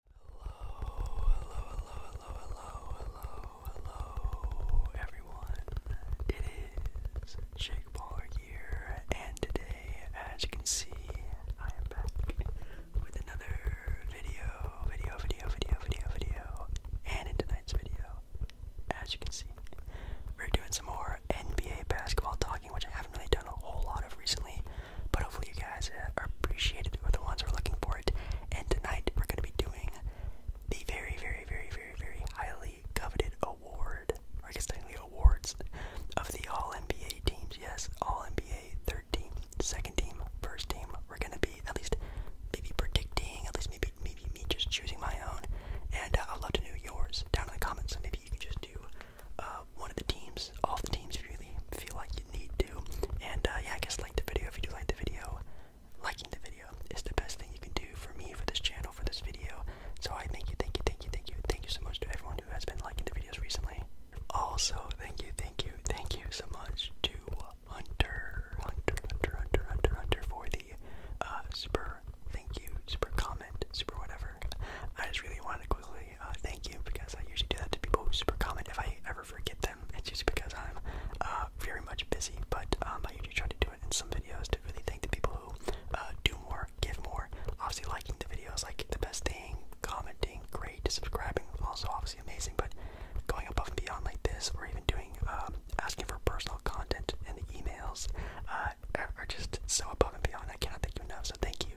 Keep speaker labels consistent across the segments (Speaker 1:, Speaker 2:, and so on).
Speaker 1: Hello, hello, hello, hello, hello, hello, hello, everyone. It is Jake Baller here, and today, as you can see, I am back with another video, video, video, video, video, video. And in tonight's video, as you can see, we're doing some more NBA basketball talking, which I haven't really done a whole lot of recently. But hopefully, you guys uh, are appreciated or the ones who are looking for it. And tonight, we're going to be doing the very, very, very, very, very highly coveted award, or I guess technically awards, of the All NBA teams. Yes, All NBA, third team, second team, first team. We're going to be at least maybe predicting, at least maybe maybe me just choosing my own. And uh, I'd love to know yours down in the comments. So maybe you can just do uh, uh, one of the teams, all the teams really feel like you need to. And uh, yeah, I like the video if you do like the video. Liking the video is the best thing you can do for me, for this channel, for this video. So I thank you, thank you, thank you, thank you, thank you so much to everyone who has been liking the videos recently. Also, thank you, thank you, thank you so much to Hunter, Hunter, Hunter, Hunter, Hunter, Hunter for the uh, super thank you, super comment, super whatever. I just really wanted to quickly uh, thank you because I usually do that to people who super common If I ever forget them, it's just because I'm uh, very much busy. But um, I usually try to do it in some videos to really thank the people who uh, do more, give more. Obviously, liking the videos like the best thing, commenting, great, subscribing, also obviously amazing. But going above and beyond like this, or even doing um, asking for personal content in the emails are just so above and beyond. I cannot thank you enough. So thank you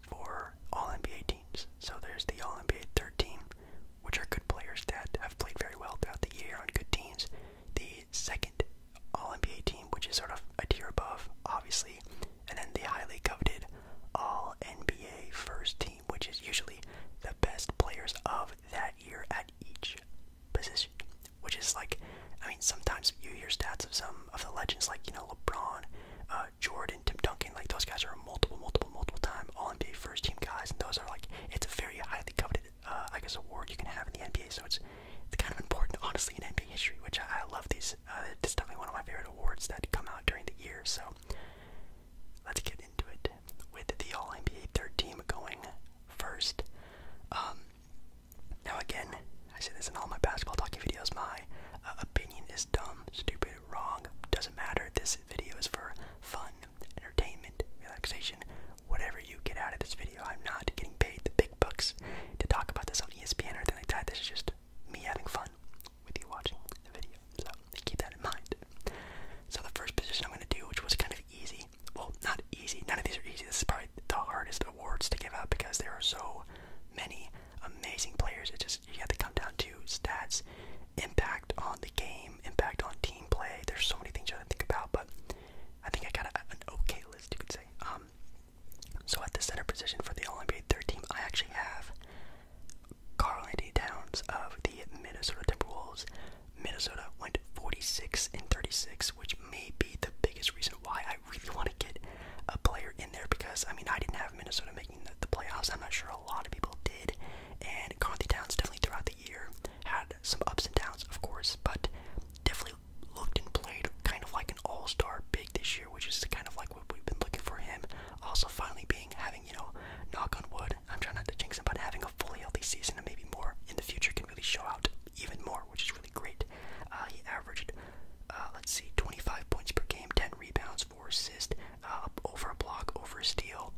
Speaker 1: for all NBA teams. So there's the all NBA third team, which are good players that have played very well throughout the year on good teams. The second all NBA team, which is sort of a tier above, obviously, and then the highly coveted all NBA first team, which is usually the best players of that year at each position. Which is like, I mean, sometimes you hear stats of some of the legends, like, you know, LeBron uh, Jordan, Tim Duncan, like those guys are multiple, multiple, multiple time All NBA first team guys, and those are like it's a very highly coveted, uh, I guess, award you can have in the NBA. So it's it's kind of important, honestly, in NBA history, which I, love. These uh, definitely one of my favorite awards that come out during the year. So let's get into it with the All NBA third team going first. Um, now, again, I say this in all my basketball talking videos my uh, opinion is dumb, stupid, wrong, doesn't matter. This video is for fun, entertainment, relaxation, whatever you get out of this video. I'm not getting paid the big bucks to talk about this on ESPN or anything like that. This is just me having fun with you watching the video. So keep that in mind. So, the first position I'm going to do, which was kind of easy well, not easy, none of these are easy. This is probably the hardest awards to give out because there are so many amazing players. It just you have to come down to stats, impact on the game, impact on team play. There's so many things you have to think about, but I think I got a, an okay list you could say. Um, so at the center position for the All NBA third team, I actually have Carl Anthony Towns of the Minnesota Timberwolves. Minnesota went 46 and 36, which may be the biggest reason why I really want to get a player in there because I mean I didn't have Minnesota making the, playoffs. I'm not sure a lot of people did, and Carthy Towns definitely throughout the year had some ups and downs, of course, but definitely looked and played kind of like an all-star big this year, which is kind of like what we've been looking for him. Also, finally being having you know, knock on wood. I'm trying not to jinx him, but having a fully healthy season and maybe more in the future can really show out even more, which is really great. Uh, he averaged uh, let's see, 25 points per game, 10 rebounds, 4 assists, uh, over a block, over a steal.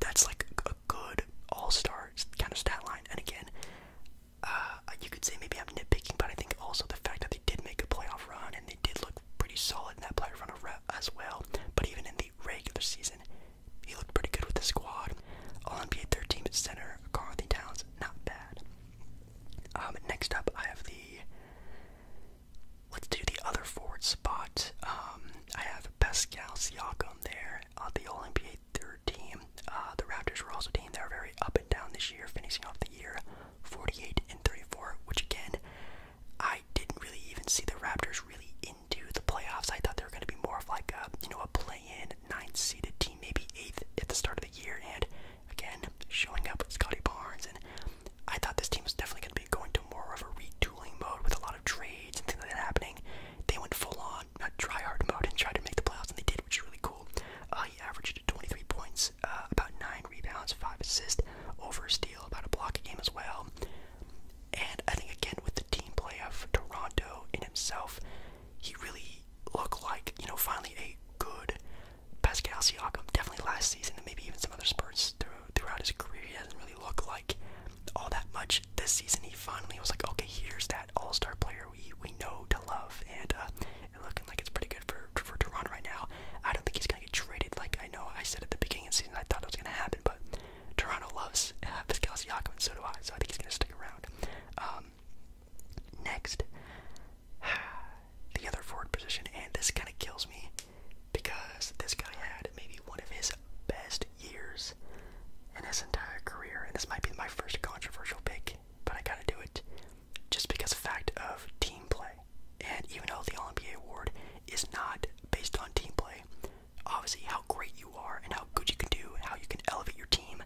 Speaker 1: That's like a good all star kind of stat line. And again, uh, you could say maybe I'm nitpicking, but I think also the fact that they did make a playoff run and they did look pretty solid in that playoff run as well. But even in the regular season, he looked pretty good with the squad. All NBA 13 at center, Carthy Towns, not bad. Um, next up, I have the. Let's do the other forward spot. Um, I have Pascal Siakam there uh, the All NBA third team. Uh, the Raptors were also a team that were very up and down this year, finishing off the year 48 and 34, which again, I didn't really even see the Raptors really into the playoffs. I thought they were going to be more of like a you know a play-in, ninth seeded team, maybe eighth at the start of the year, and Again, showing up with Scotty Barnes, and I thought this team was definitely going to be going to more of a retooling mode with a lot of trades and things like that happening. They went full on, not uh, try hard mode, and tried to make the playoffs, and they did, which is really cool. Uh, he averaged 23 points, uh, about 9 rebounds, 5 assists, over a steal, about a block a game as well. And I think, again, with the team play of Toronto in himself, he really looked like, you know, finally a good Pascal Siakam, definitely last season and maybe even some other spurts throughout his career, he hasn't really looked like all that much. This season, he finally was like, okay, here's that all-star player we we know to love, and uh, looking like it's pretty good for for Toronto right now. I don't think he's gonna get traded. Like I know I said at the beginning of season, I thought it was gonna happen, but Toronto loves uh, Pascal Siakam, and so do I. So I think he's gonna stick around. Um, next, the other forward position, and this kind of kills me because this guy had maybe one of his best years in his entire career, and this might be my first controversial pick, but I gotta do it just because fact of team play. And even though the All-NBA award is not based on team play, obviously how great you are and how good you can do and how you can elevate your team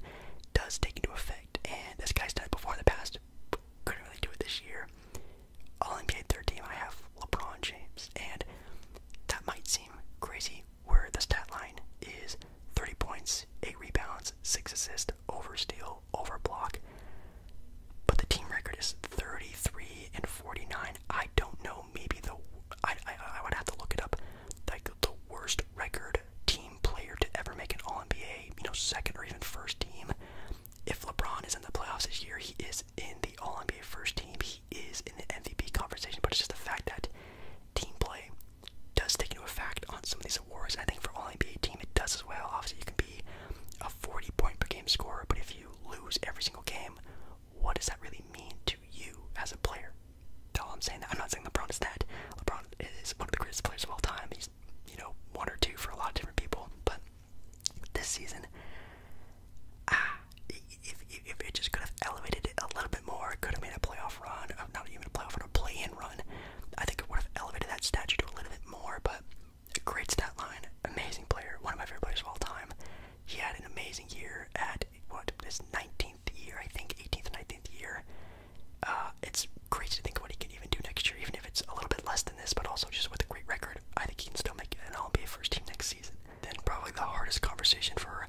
Speaker 1: does take into effect. And this guy's done it before in the past, just couldn't really do it this year. All NBA third team, I have LeBron James, and that might seem crazy. Where the stat line is 30 points, 8 rebounds, 6 assists, over steal, over block. But the team record is 33 and 49. I don't know. Maybe the I, I would have to look it up. Like the worst record team player to ever make an All NBA, you know, second or even first team. If LeBron is in the playoffs this year, he is in the All NBA first team. He is in the MVP conversation, but it's just the fact that team play does take into effect on some of these awards. I think for All NBA team, it does as well. Obviously, you can be a 40 point per game scorer, but if you lose every single game, what does that really mean to you as a player? all I'm saying. That. I'm not saying LeBron is that. LeBron is one of the greatest players of all time you know one or two for a lot of different people. But this season, ah, if, if, it just could have elevated it a little bit more, could have made a playoff run, uh, not even a playoff run, a play-in run. I think it would have elevated that statue to a little bit more. But a great stat line, amazing player, one of my favorite players of all time. He had an amazing year at what his 19th year, I think, 18th, 19th year uh, it's crazy to think what he can even do next year, even if it's a little bit less than this, but also just with a great record, I think he can still make an All NBA first team next season. Then, probably the hardest conversation for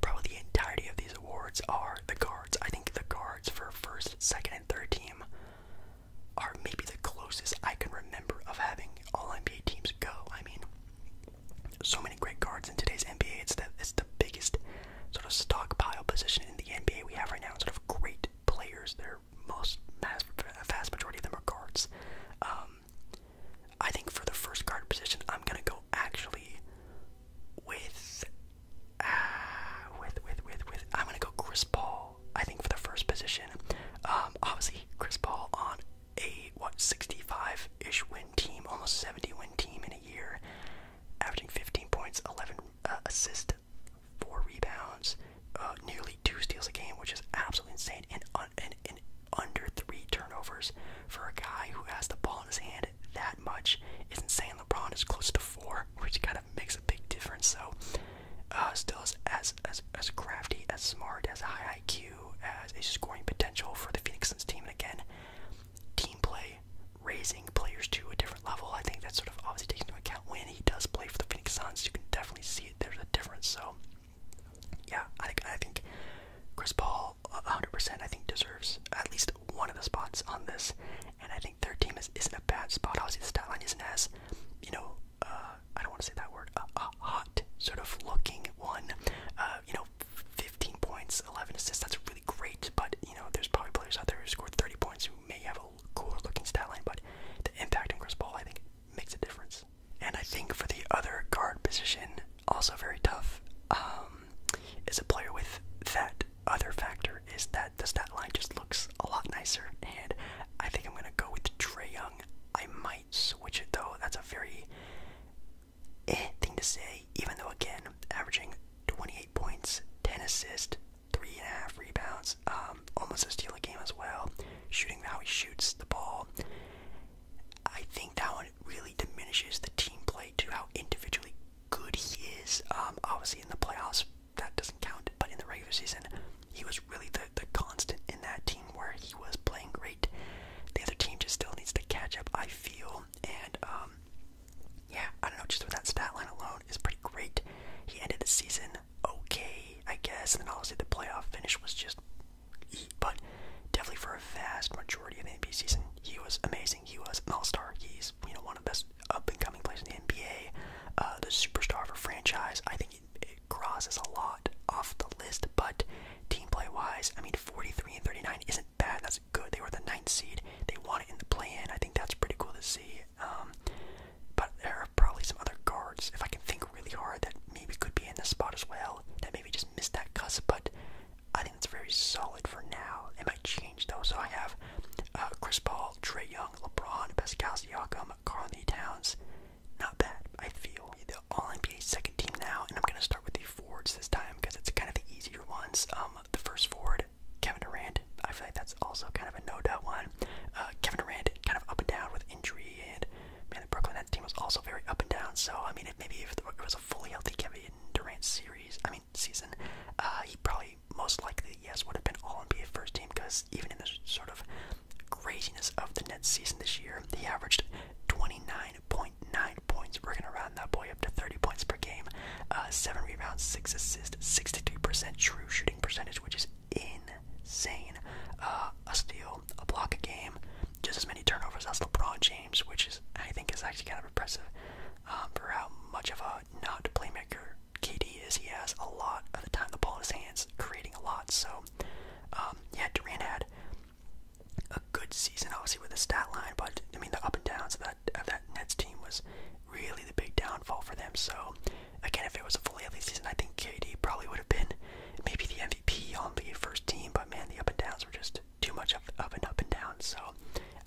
Speaker 1: probably the entirety of these awards are the guards. I think the guards for first, second, and third team are maybe the closest I can remember of having all NBA teams go. I mean, so many great guards in today's NBA. It's the, it's the biggest sort of stockpile position in the NBA we have right now. Sort of great players. They're most mass, vast majority of them are guards. Um, I think for the first guard position, I'm gonna go actually with uh, with with with with. I'm gonna go Chris Paul. I think for the first position, um, obviously Chris Paul on a what 65 ish win team, almost 70 win team in a year, averaging 15 points, 11 uh, assists, four rebounds, uh, nearly two steals a game, which is absolutely insane, and, under three turnovers for a guy who has the ball in his hand that much is insane. LeBron is close to four, which kind of makes a big difference. So, uh, still as as as, crafty, as smart, as high IQ, as a scoring potential for the Phoenix team. And again, team play raising players to a different level. I think that sort of obviously takes into account when he does play for the Phoenix Suns. You can definitely see it. There's a difference. So, yeah, I think I think Chris Paul, 100%, uh, I think deserves at least one of the spots on this. And I think their team is isn't a bad spot. Obviously, the stat line isn't as, you know, uh, I don't want to say that word, a hot sort of looking one. Uh, you know, 15 points, 11 assists. That's really great. But you know, there's probably players out there who scored 30 points may have a cooler looking stat line, but the impact on Chris Paul, I think, makes a difference. And I think for the other guard position, also very tough, um, is a player with that other factor is that the stat line just looks a lot nicer. And I think I'm going to go with Trey Young. I might switch it though. That's a very eh thing to say, even though, again, averaging 28 points, 10 assists, three and a half rebounds, um, almost a steal a game as well, shooting how he shoots the ball. I think that one really diminishes the team play to how individually good he is. Um, obviously, in the playoffs, that doesn't count, but in the regular season, he was really the, the constant in that team where he was playing great. The other team just still needs to catch up, I feel, and um, yeah, I don't know, just with that stat line alone is pretty great. He ended the season okay, I guess, and then obviously the playoff finish was just but definitely for a vast majority of the NBA season, he was amazing. He was an all-star. He's, you know, one of the best up-and-coming players in the NBA, uh, the superstar for franchise. I think it crosses a lot off the list, but team play-wise, I mean, 43 and 39 isn't bad. That's good. They were the ninth seed. They won it in the play-in. I think that's pretty cool to see. Um, but there are probably some other guards, if I can think really hard, that maybe could be in the spot as well. That maybe just missed that cusp, but I think it's very solid for now. It might change though. So I have uh, Chris Paul, Trey Young, LeBron, Pascal Siakam, Carl Towns. Not bad, I feel. The All NBA second team now, and I'm gonna start with the forwards this time because it's kind of the easier ones. Um, the first forward Kevin Durant, I feel like that's also kind of a no doubt one. Uh, Kevin Durant kind of up and down with injury, and man, the Brooklyn Nets team was also very up and down. So I mean, maybe if it was a fully healthy Kevin Durant series, I mean season, uh, he probably most likely yes would have been All NBA first team because even in the sort of craziness of the Nets season this year, the averaged 29.9 points. We're gonna round that point up to 30 points per game, uh, seven rebounds, six assists, 63% true shooting percentage, which is insane. Uh, a steal, a block a game, just as many turnovers as LeBron James, which I think is actually kind of impressive um, for how much of a not playmaker KD is. He has a lot of the time the ball in his hands, creating a lot. So um, yeah, Durant had a good season, obviously with the stat line, but I mean the up and downs of that of that Nets team was really the big downfall for them. So again, if it was a fully healthy season, I think KD probably would have been maybe the MVP on the first team. But man, the up and downs were just too much of, of an up and down. So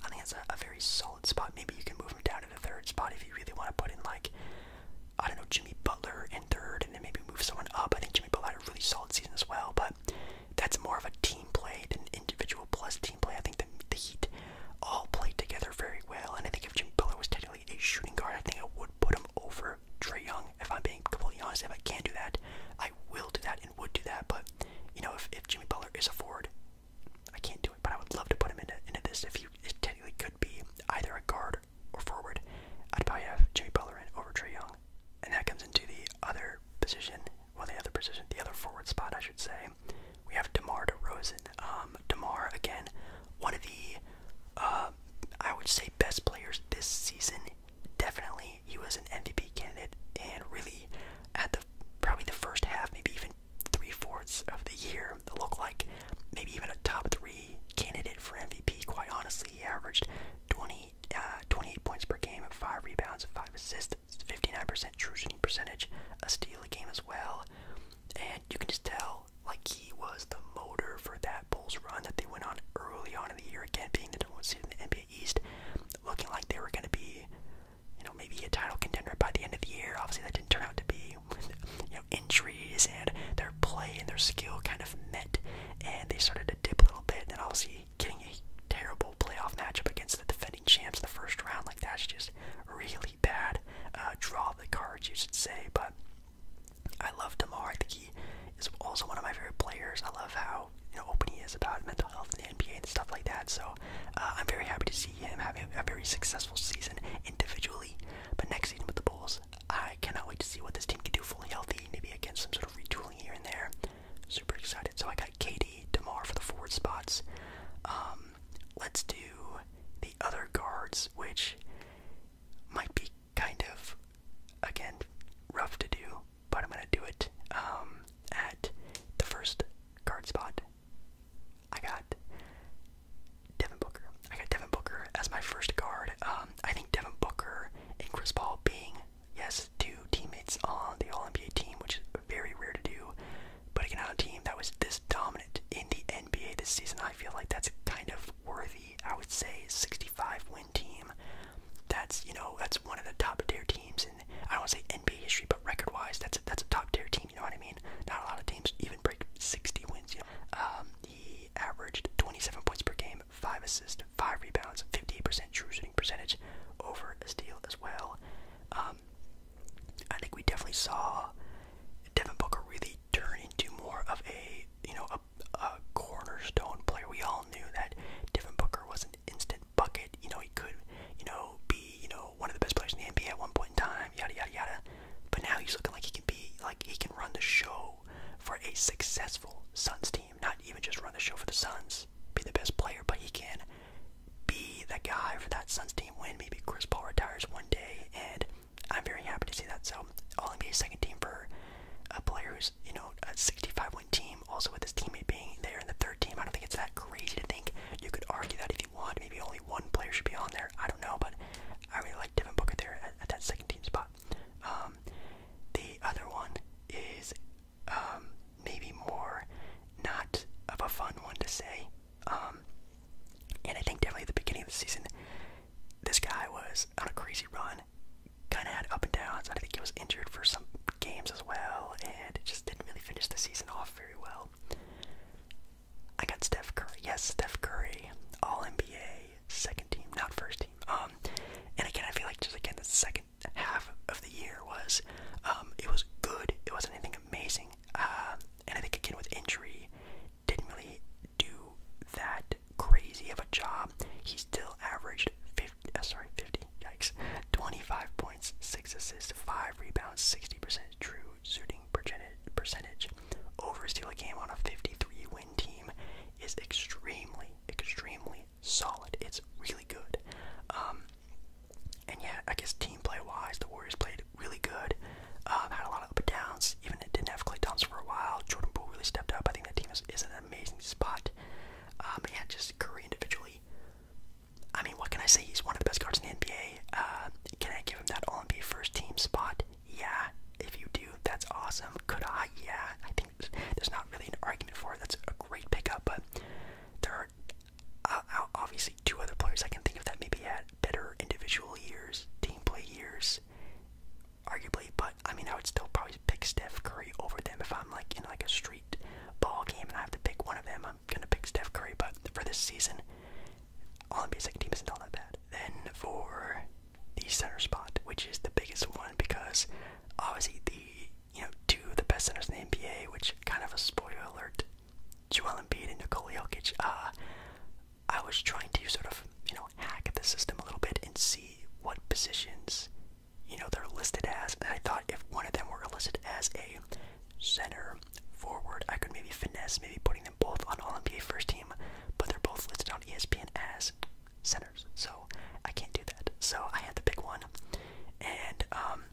Speaker 1: I think that's a, a very solid spot. Maybe you can move him down to the third spot if you really want to put in like I don't know Jimmy Butler in third, and then maybe move someone up. I think Jimmy Butler had a really solid season as well, but that's more of a team play than individual plus team play. I think the, the Heat all played together very well. And I think if Jimmy Biller was technically a shooting guard, I think I would put him over Trey Young. If I'm being completely honest, if I can do that, I will do that and would do that. But you know, if, if Jimmy Butler is a forward, I can't do it. But I would love to put him into into this. If he technically could be either a guard or forward, I'd probably have Jimmy Butler in over Trey Young. And that comes into the other position, well, the other position, the other forward spot, I should say we have DeMar DeRozan. Um, DeMar, again, one of the, uh, I would say, best players this season. Definitely, he was an MVP candidate, and really, at the probably the first half, maybe even three fourths of the year, look like maybe even a top three candidate for MVP. Quite honestly, he averaged 20, uh, 28 points per game, five rebounds, five assists. 59% true shooting percentage, a steal game as well. And you can just tell, like, he was the motor for that Bulls run that they went on early on in the year, again, being the number one seed in the NBA East, looking like they were going to be, you know, maybe a title contender by the end of the year. Obviously, that didn't turn out to be, you know, injuries and their play and their skill kind of met, and they started to dip a little bit, and then obviously getting a terrible playoff matchup against the defending champs in the first round, like that's just really bad uh, draw the cards, you should say. But I love Demar. I think he is also one of my favorite players. I love how open he is about mental health in the NBA and stuff like that. So uh, I'm very happy to see him having a very successful season individually. But next season with the Bulls, I cannot wait to see what this team can do fully healthy. Maybe against some sort of retooling here and there. Super excited. So I got KD, Demar for the forward spots. Um, um, let's do the other guards, which might be kind of, again, rough to do, but I'm gonna do it. Um, at the first guard spot, I got Devin Booker. I got Devin Booker as my first guard. Um, I think Devin Booker and Chris Paul being, yes, two teammates on the All NBA team, which very rare to do. But again, on a team that was this dominant in the NBA this season, I feel like that's kind of worthy. I would say 65 win team. That's you know that's one of the top tier teams, and I don't want to say NBA history, but record wise, that's a, that's a top tier team. You know what I mean? Not a lot of teams even break 60 wins. You know? um, he averaged 27 points per game, five assists, five rebounds, 58% true shooting percentage, over a steal as well. Um, I think we definitely saw Devin Booker really turn into more of a you know a, a cornerstone player. We all knew that Devin Booker was an instant bucket. You know he could you know be you know one of the best players in the NBA at one point in time. Yada yada yada. But now he's looking like he can be like he can run the show for a successful Suns team. Not even just run the show for the Suns, be the best player, but he can be the guy for that Suns team win. Maybe Chris Paul retires one day, and I'm very happy to see that. So All NBA second team for a player who's you know a 65 win team. Also with his teammate being there in the third team, I don't think it's that crazy to think you could argue that if you want. Maybe only one player should be on there. I don't know, but I really like Devin Booker there at, at that second team spot. Um, the other one is um, maybe more not of a fun one to say. Um, and I think definitely at the beginning of the season, this guy was on a crazy run, kind of had up and downs. I think he was injured for some games as well, and it just didn't really finish the season off very well. I got Steph Curry. Yes, Steph Curry, All NBA, second team, not first team. Um, and again, I feel like just again the second half of the year was, um, it was good. It wasn't anything amazing, uh, and I think again with injury, didn't really do that crazy of a job. He still averaged 50, uh, sorry, 50, yikes, 25 points, 6 assists, 5 rebounds, 60% true shooting percentage over steal a game on a 53 win team is extremely, extremely solid. It's really good. Um, and yeah, I guess team play wise, the Warriors played really good. Um, had a lot of up and downs. Even it didn't have Clay Thompson for a while. Jordan Poole really stepped up. I think that team is, is an amazing spot. Um, just Curry individually. I mean, what can I say? He's one of the best guards in the NBA. Um, can I give him that All NBA first team spot? Yeah. If you do, that's awesome. Could I? Yeah. I think there's not really an argument for it. That's a great pick up. but there are obviously two other players I can think of that maybe had better individual years, team play years, arguably. But I mean, I would still probably pick Steph Curry over them if I'm like in like a street ball game and I have to pick one of them. I'm gonna pick Steph Curry. But for this season, all NBA second team isn't all that bad. Then for the center spot, which is the biggest one because obviously the you know two of the best centers in the NBA, which kind of a spoiler alert Joel Embiid and Nikola Jokic, uh, I was trying to sort of, you know, hack the system a little bit and see what positions, you know, they're listed as. And I thought if one of them were listed as a center forward, I could maybe finesse, maybe putting them both on All NBA first team, but they're both listed on ESPN as centers. So I can't do that. So I had to pick one. And um,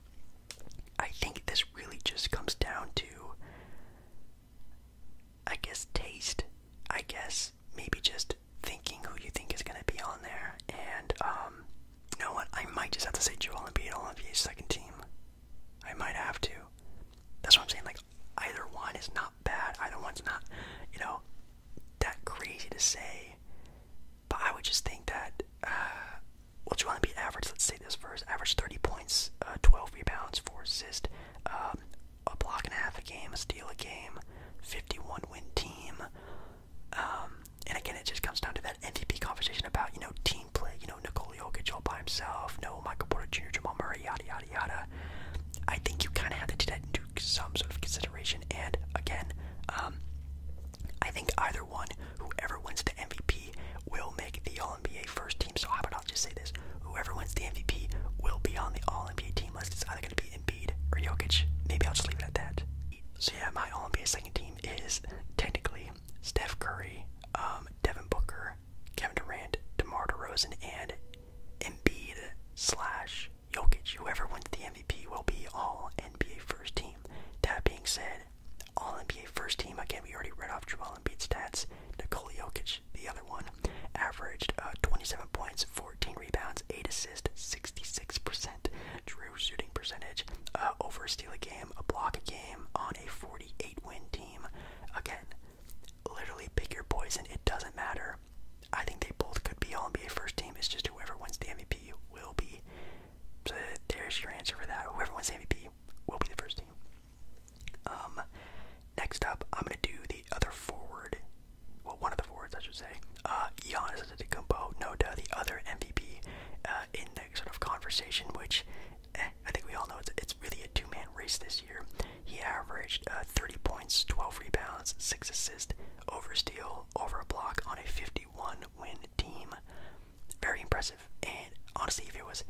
Speaker 1: I think this really just comes down to, I guess, taste. I guess maybe just thinking who you think is going to be on there. And, um, you know what? I might just have to say Joel Embiid on NBA's second team. I might have to. That's what I'm saying. Like, either one is not bad. Either one's not, you know, that crazy to say. But I would just think that, uh, well, you to be average? Let's say this first. Average 30 points, uh, 12 rebounds, 4 assists, um, a block and a half a game, a steal a game, 51 win team. Um, and again, it just comes down to that MVP conversation about, you know, team play. You know, Nikola Jokic all by himself, no Michael Porter Jr., Jamal Murray, yada, yada, yada. I think you kind of have to do that into some sort of consideration. And again, um, I think either one, whoever wins the MVP, will make the All NBA first team. So how about I'll just say this: whoever wins the MVP will be on the All NBA team list. It's either going to be Embiid or Jokic. Maybe I'll just leave it at that. So yeah, my All NBA second team is technically Steph Curry, um, Devin Booker, Kevin Durant, DeMar DeRozan, and Embiid slash Jokic. Whoever wins the MVP will be All NBA first team. That being said, all NBA first team. Again, we already read off Joel Embiid's stats. Nikola Jokic, the other one, averaged uh, 27 points, 14 rebounds, 8 assists, 66% true shooting percentage, uh, over a steal a game, a block a game on a 48 win team. Again, literally pick your poison. It doesn't matter. I think they both could be All NBA first team. It's just whoever wins the MVP will be. So there's your answer for that. Whoever wins MVP will be the first team. Um, next up, I'm gonna do the other forward. Well, one of the forwards, I should say. Uh, Giannis combo. Noda, the other MVP uh, in the sort of conversation, which eh, I think we all know it's, it's really a two-man race this year. He averaged uh, 30 points, 12 rebounds, six assists, over steal, over a block on a 51-win team. Very impressive. And honestly, if it was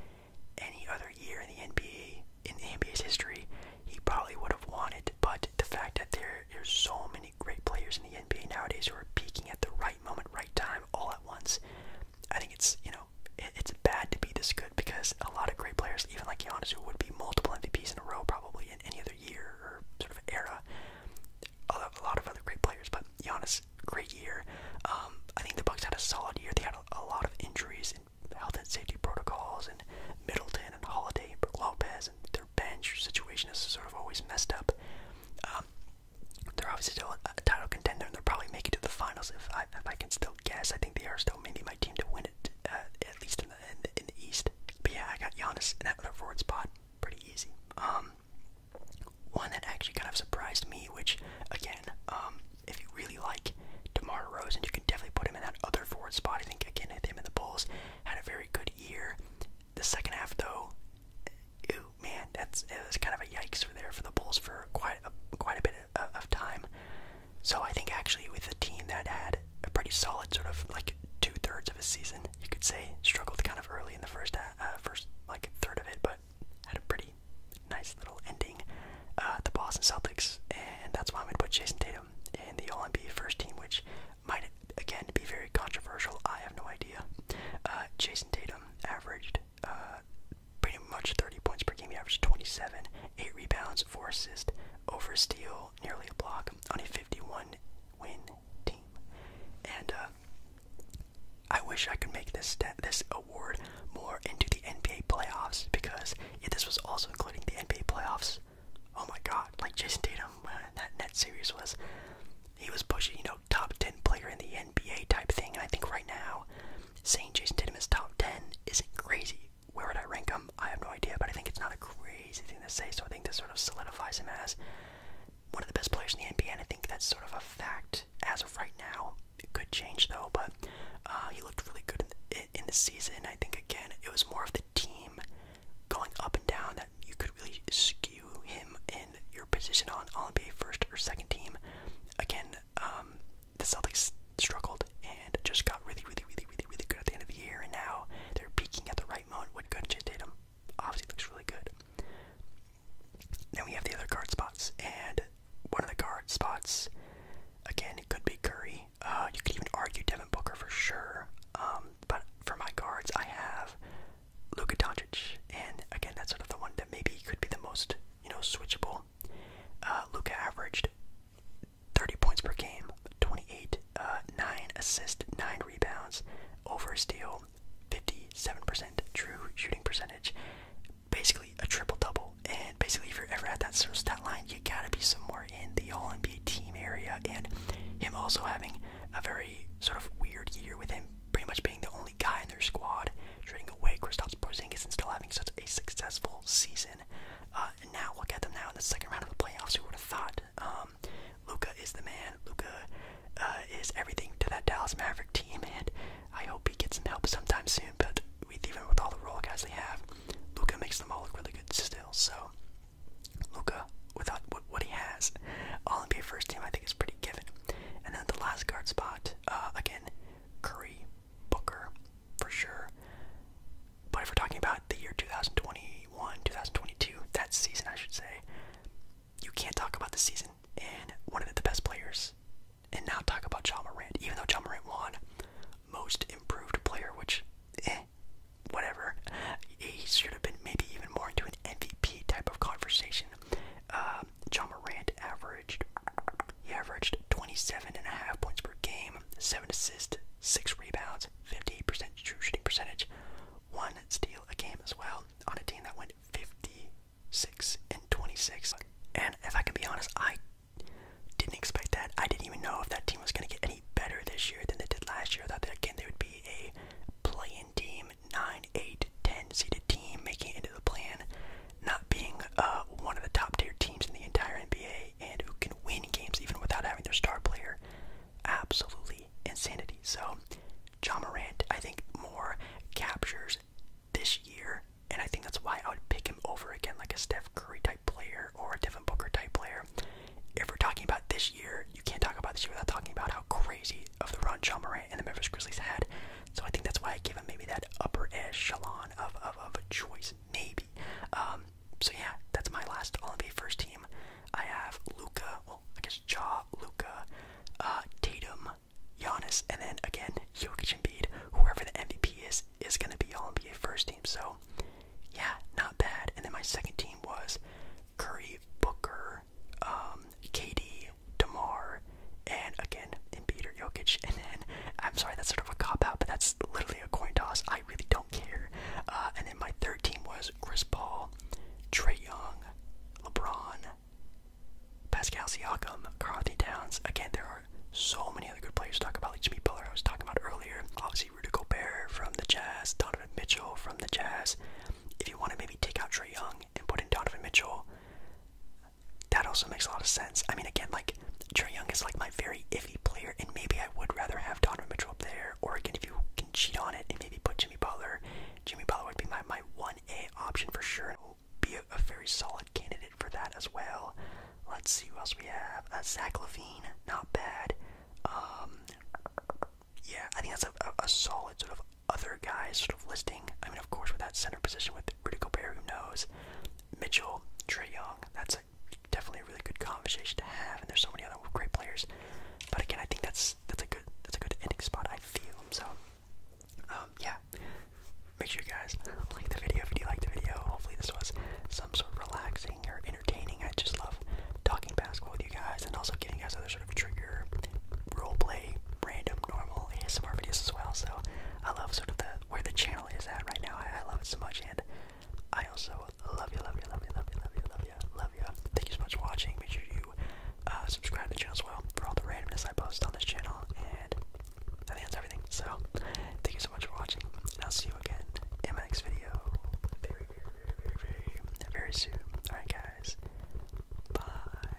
Speaker 1: any other year in the NBA, in the NBA's history, he probably would have won it. But the fact that there there's so many great players in the NBA nowadays who are peaking at the right moment, right time, all at once, I think it's you know it's bad to be this good because a lot of great players, even like Giannis, who would be multiple MVPs in a row probably in any other year or sort of era, a lot of other great players, but Giannis, great year. Um, I think the Bucks had a solid year. They had a, lot of injuries and health and safety protocols, and Middleton and Holiday and Lopez, and their bench situation is sort of always messed up. Um, they're obviously a, title contender, and they'll probably make it to the finals if I, if I can still guess. I think they are still maybe my team to win it, uh, at least in the, in the, East. But yeah, I got Giannis in that other forward spot, pretty easy. Um, one that actually kind of surprised me, which again, um, if you really like DeMar Rosen, you can definitely put him in that other forward spot. I think again, him and the Bulls had a very good year. The second half, though, ew, man, that's it was kind of a yikes for there for the Bulls for quite a, quite a bit of time. So I think actually with a team that had a pretty solid sort of like two thirds of a season, you could say struggled kind of early in the first uh, uh, first like third of it, but had a pretty nice little ending. Uh, the Boston Celtics, and that's why I'm gonna put Jason Tatum in the All NBA first team, which might again be very controversial. I have no idea. Uh, Jason Tatum averaged pretty much 30 points per game. He averaged 27, eight rebounds, four assists, over steal, nearly a block on a 51 win team. And uh, I wish I could make this this award more into the NBA playoffs because if this was also including the NBA playoffs, oh my God! Like Jason Tatum, uh, that net series was, he was pushing you know top ten player in the NBA type thing. I think right now, saying Jason Tatum is top ten isn't crazy. Where would I rank him? I have no idea, but I think it's not a crazy thing to say. So I think this sort of solidifies him as one of the best players in the NBA, and I think that's sort of a fact as of right now. It could change though, but uh, he looked really good in the, in the season. I think again, it was more of the team going up and down that you could really skew him in your position on All NBA first or second team. Again, um, the Celtics struggled and just got really, really, really, really, really good at the end of the year, and now they're peaking at the right moment. What Gunja did him obviously looks really good. Then we have the other guard spots, and one of the guard spots, again, it could be Curry. Uh, you could even argue Devin Booker for sure. Um, but for my guards, I have Luka Doncic, and again, that's sort of the one that maybe could be the most, you know, switchable. Uh, Luka averaged 30 points per game, 28, uh, 9 assists, 9 rebounds, over steal, 57% true shooting percentage. Basically a triple double. And basically, if you're ever at that sort of stat line, you gotta be somewhere in the All NBA team area. And him also having a very sort of weird year with him pretty much being the only guy in their squad, trading away Kristaps Porzingis and still having such a successful season. Uh, and now look at them now in the second round of the playoffs. Who would have thought? Um, Luca is the man. Luca uh, is everything to that Dallas Maverick team, and I hope he gets some help sometime soon. But with, even with all the role guys they have, Luca makes them all look really good still. So Luca, without what, what he has, all NBA first team, I think is pretty given. And then the last guard spot, uh, again, Curry, Booker, for sure. But if we're talking about the year 2021, 2022, that season, I should say, you can't talk about the season and one of the best players and now talk about John Morant, even though John Morant won most improved player, which, eh, whatever. He should have been maybe even more into an MVP type of conversation. Uh, um, John averaged, he averaged 27 and a half points per game, seven assists, six rebounds, 58% true shooting percentage, one steal a game as well on a team that went 56 and 26. And if I can be honest, I didn't expect that. I didn't even know if that team was going to get any better this year than they did last year. I thought that again they would be a play-in team, 9, 8, 10 seeded team making it into the plan, not being uh, one of the top-tier teams in the entire NBA and who can win games even without having their star player. Absolutely insanity. So John Morant, I think, more captures this year, and I think that's why I would pick him over again, like a Steph Curry type player or a Devin Booker type player. If we're talking about this year, you can't talk about this year without talking about how crazy of the run John Morant and the Memphis Grizzlies had. So I think that's why I give him maybe that upper echelon of, of, of a choice, maybe. Um, so yeah, that's my last All NBA first team. I have Luca, well, I guess Ja, Luca, uh, Tatum, Giannis, and then again Jokic and Bede. Whoever the MVP is is gonna be on NBA first team. So yeah, not bad. And then my second team was Curry, Booker, um, KD, Demar, and again Embiid or Jokic. And then I'm sorry, that's sort of a cop out, but that's literally a coin toss. I really don't care. Uh, and then my third team was Chris Paul, Trey Young, LeBron, Pascal Siakam, Carl Anthony Towns. Again, there are so many other good players talk about, like Jimmy Butler, I was talking about earlier. Obviously, Rudy Gobert from the Jazz, Donovan Mitchell from the Jazz. If you want to maybe take out Trey Young and put in Donovan Mitchell, that also makes a lot of sense. I mean, again, like Trey Young is like my very iffy player, and maybe I would rather have Donovan Mitchell up there. Or again, if you can cheat on it and maybe put Jimmy Butler, Jimmy Butler would be my my one a option for sure and will be a, very solid candidate for that as well. Let's see who else we have. Uh, Zach Levine, not bad. Um, yeah, I think that's a, a, solid sort of other guys sort of listing. I mean, of course, with that center position with Rudy Gobert, who knows? Mitchell, Trey Young, that's definitely a really good conversation to have. And there's so many other great players but again, I think that's that's a good that's a good ending spot. I feel so. Um, yeah, make sure you guys like the video if you like the video. Hopefully, this was some sort of relaxing or entertaining. I just love talking basketball with you guys and also giving you guys other sort of trigger role play, random, normal ASMR videos as well. So I love sort of the where the channel is at right now. I, I love it so much, and I also love you, love you, love you, love you, love you, love you, love you. Love you. Thank you so much for watching. Make sure you uh, subscribe to the channel as well for all the randomness I post on this channel. And I think everything. So, thank you so much for watching, and I'll see you again in my next video very, very, very, very, very, soon. Alright, guys. bye.